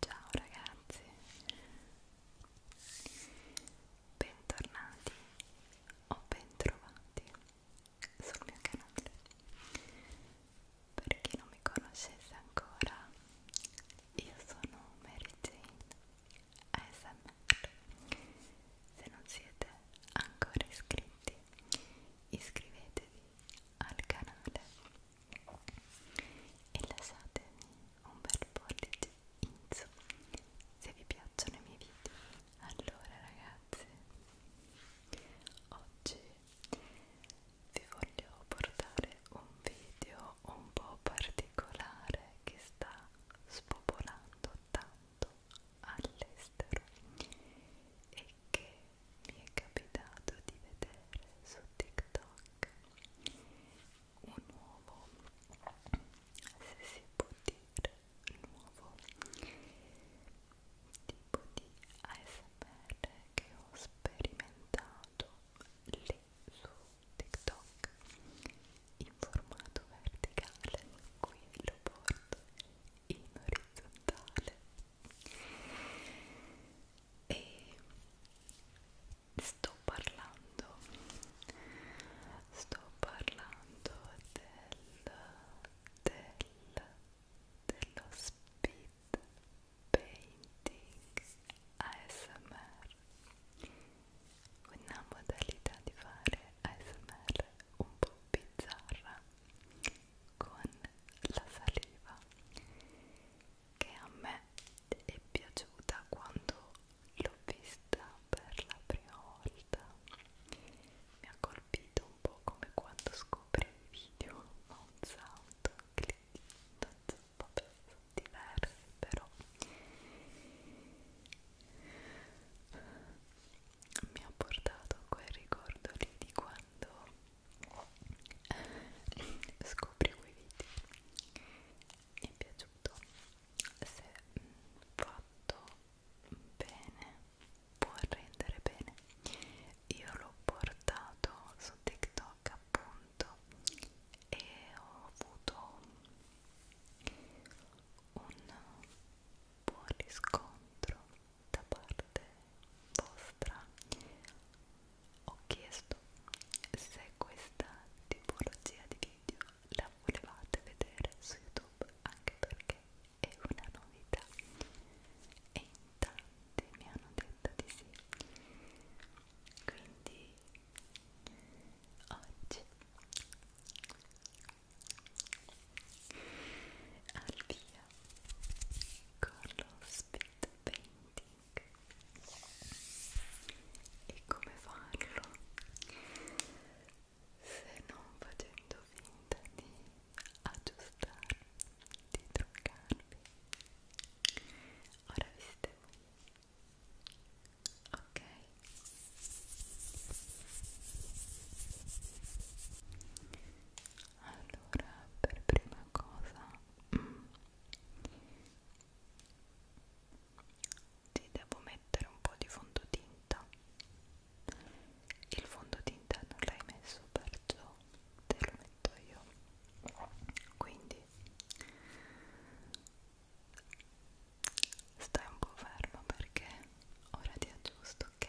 Ciao ragazzi, bentornati o bentrovati sul mio canale. Per chi non mi conoscesse ancora, io sono Mary Jane ASMR. Se non siete ancora iscritti, iscrivetevi al canale e lasciatemi un bel pollice in su se vi piacciono i miei video allora ragazzi oggi vi voglio portare un video un po' particolare che sta spopolando tanto all'estero e che mi è capitato di vedere su TikTok un nuovo, se si può dire, nuovo tipo di ASMR che ho sperimentato lì su TikTok in formato verticale, qui lo porto in orizzontale e sto parlando sto parlando del, del dello speed painting ASMR una modalità di fare ASMR un po' bizzarra con la saliva che a me è piaciuta quando l'ho vista per la prima volta mi ha colpito un po' come quando scopri il video ma un sound clip non so, vabbè, sono diversi però mi ha portato a quel ricordo lì di quando scopri quei video mi è piaciuto se mm, fatto bene può rendere bene io l'ho portato su tiktok appunto e ho avuto un buon riscontro da parte vostra ho chiesto se questa tipologia di video la volevate vedere su YouTube anche perché è una novità e in tanti mi hanno detto di sì quindi oggi al via con lo Speed 20 e come farlo? Se non facendo finta di aggiustarmi, di truccarmi. Ora vi siete voi. Ok. Allora, per prima cosa mm, ti devo mettere un po' di fondotinta il fondotinta non l'hai messo perciò te lo metto io quindi stai un po' fermo perché ora ti aggiusto ok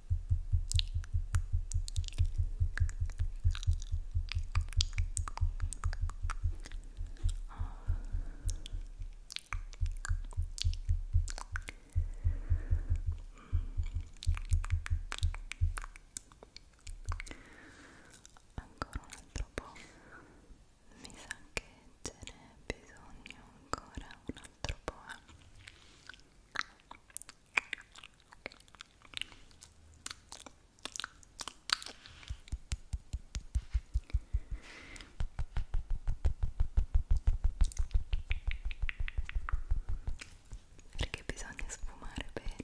Ancora un altro po'. Mi sa che ce n'è bisogno ancora un altro po'. Eh? perché bisogna sfumare bene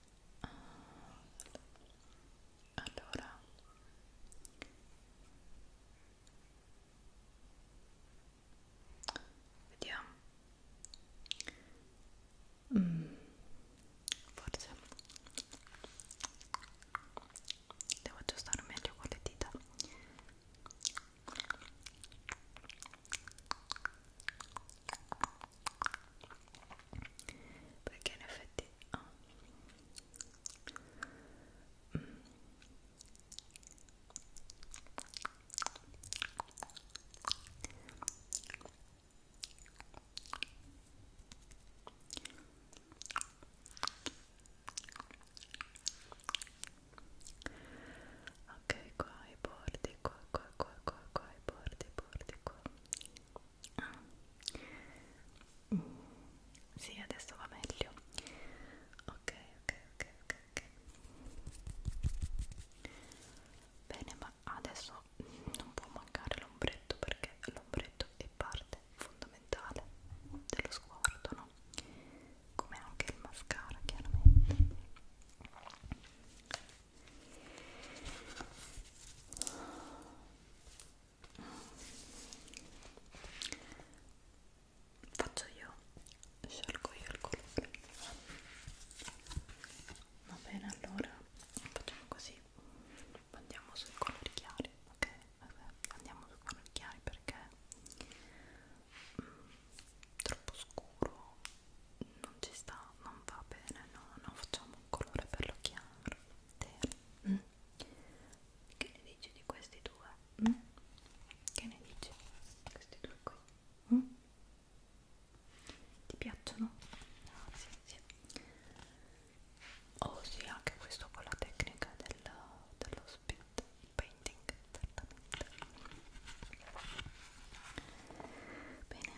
allora vediamo mm, forse devo aggiustare meglio con le dita perché in effetti oh. mm. Ok, qua i bordi, qua, qua, qua, qua, qua, i bordi, i bordi, qua Ah. Mm. Sì, adesso va meglio. Ok, ok, ok, ok, ok. Bene, ma adesso non può mancare l'ombretto perché l'ombretto è parte fondamentale dello sguardo, no? Come anche il mascara, chiaramente. Faccio io, scelgo io il colore. Va bene, allora facciamo così. Andiamo sui colori chiari, ok? Vabbè, andiamo sui colori chiari perché mm, troppo scuro non ci sta, non va bene, no, non facciamo un colore bello chiaro, terra. Mm. Che ne dici di questi due? Mm. Che ne dici? Questi due qui? Mm. Ti piacciono? No, ah, sì, sì. Oh sì, anche questo con la tecnica del, dello spit painting, certamente. Bene.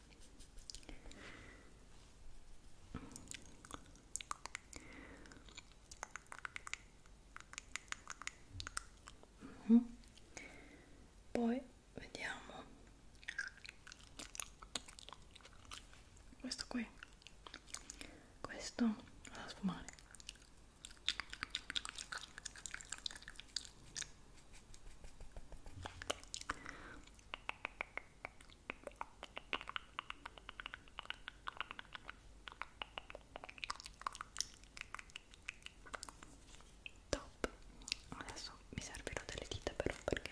Mm -hmm. Poi vediamo questo qui, questo vado a sfumare. Top. Adesso mi servirò delle dita però perché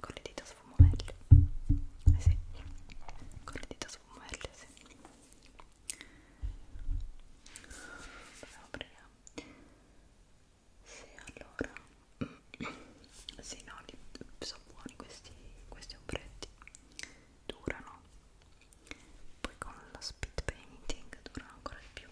con le dita sfumo meglio. Eh sì, con le dita sfumo meglio, sì. Proviamo, proviamo. Sì, allora, sì, no, li, sono buoni questi, questi ombretti, durano, poi con la speed painting durano ancora di più.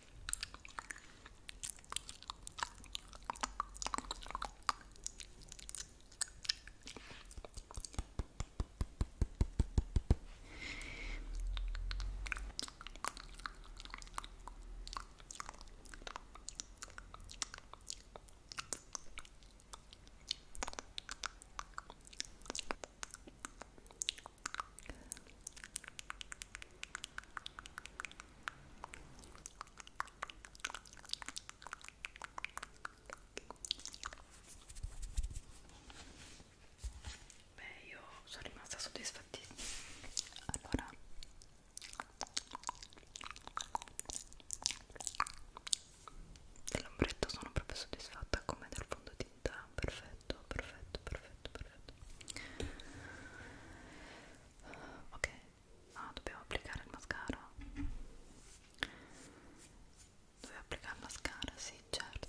Beh, io sono rimasta soddisfattissima. Allora, dell'ombretto sono proprio soddisfatta come del fondotinta perfetto perfetto perfetto perfetto ok ah dobbiamo applicare il mascara dovevo applicare il mascara sì certo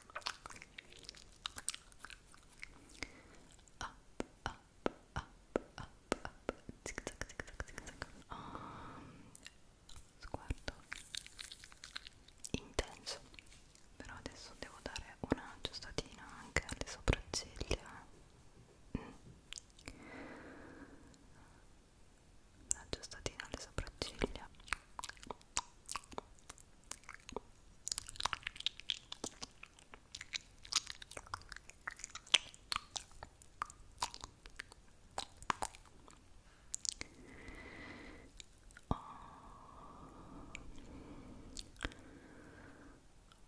up, up, up, up, up, zig zag, zig zag, zig zag. Um, sguardo intenso, però adesso devo dare una giustatina anche alle sopracciglia. Mm. La giustatina alle sopracciglia Oh,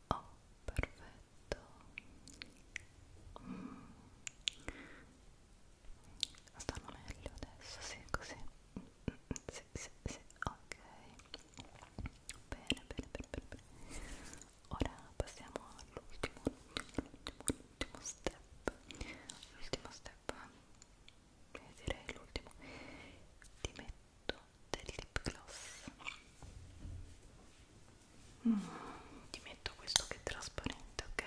oh perfetto. Mm. Stanno meglio adesso, sì, così. Mm sì, sì, sì, ok bene, bene, bene, bene, bene. ora passiamo all'ultimo, l'ultimo, l'ultimo step l'ultimo step eh, direi l'ultimo ti metto del lip gloss mm, ti metto questo che è trasparente, ok?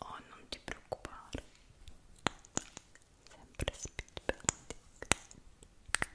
Oh, non ti preoccupare. Sempre speed painting. Ecco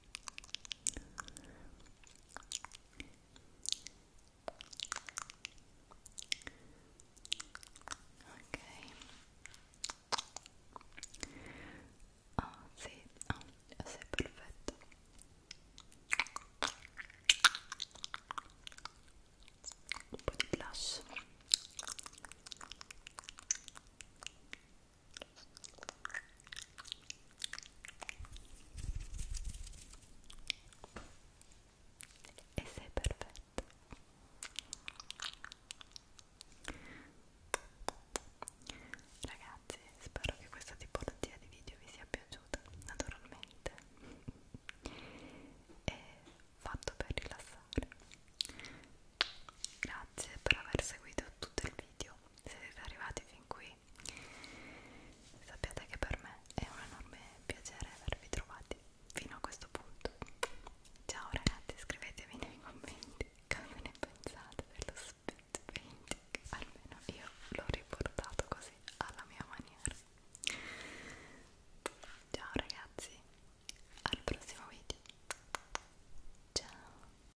Ok. Oh, sì, oh, ah, sei perfetto. Un po' di blush e sei perfetto ragazzi spero che questa tipologia di video vi sia piaciuta naturalmente è fatto per rilassare grazie per aver seguito tutto il video se siete arrivati fin qui sappiate che per me è un enorme piacere avervi trovati fino a questo punto ciao ragazzi scrivetemi nei commenti cosa ne pensate dello speed painting almeno io l'ho riportato così alla mia maniera ciao ragazzi al prossimo video ciao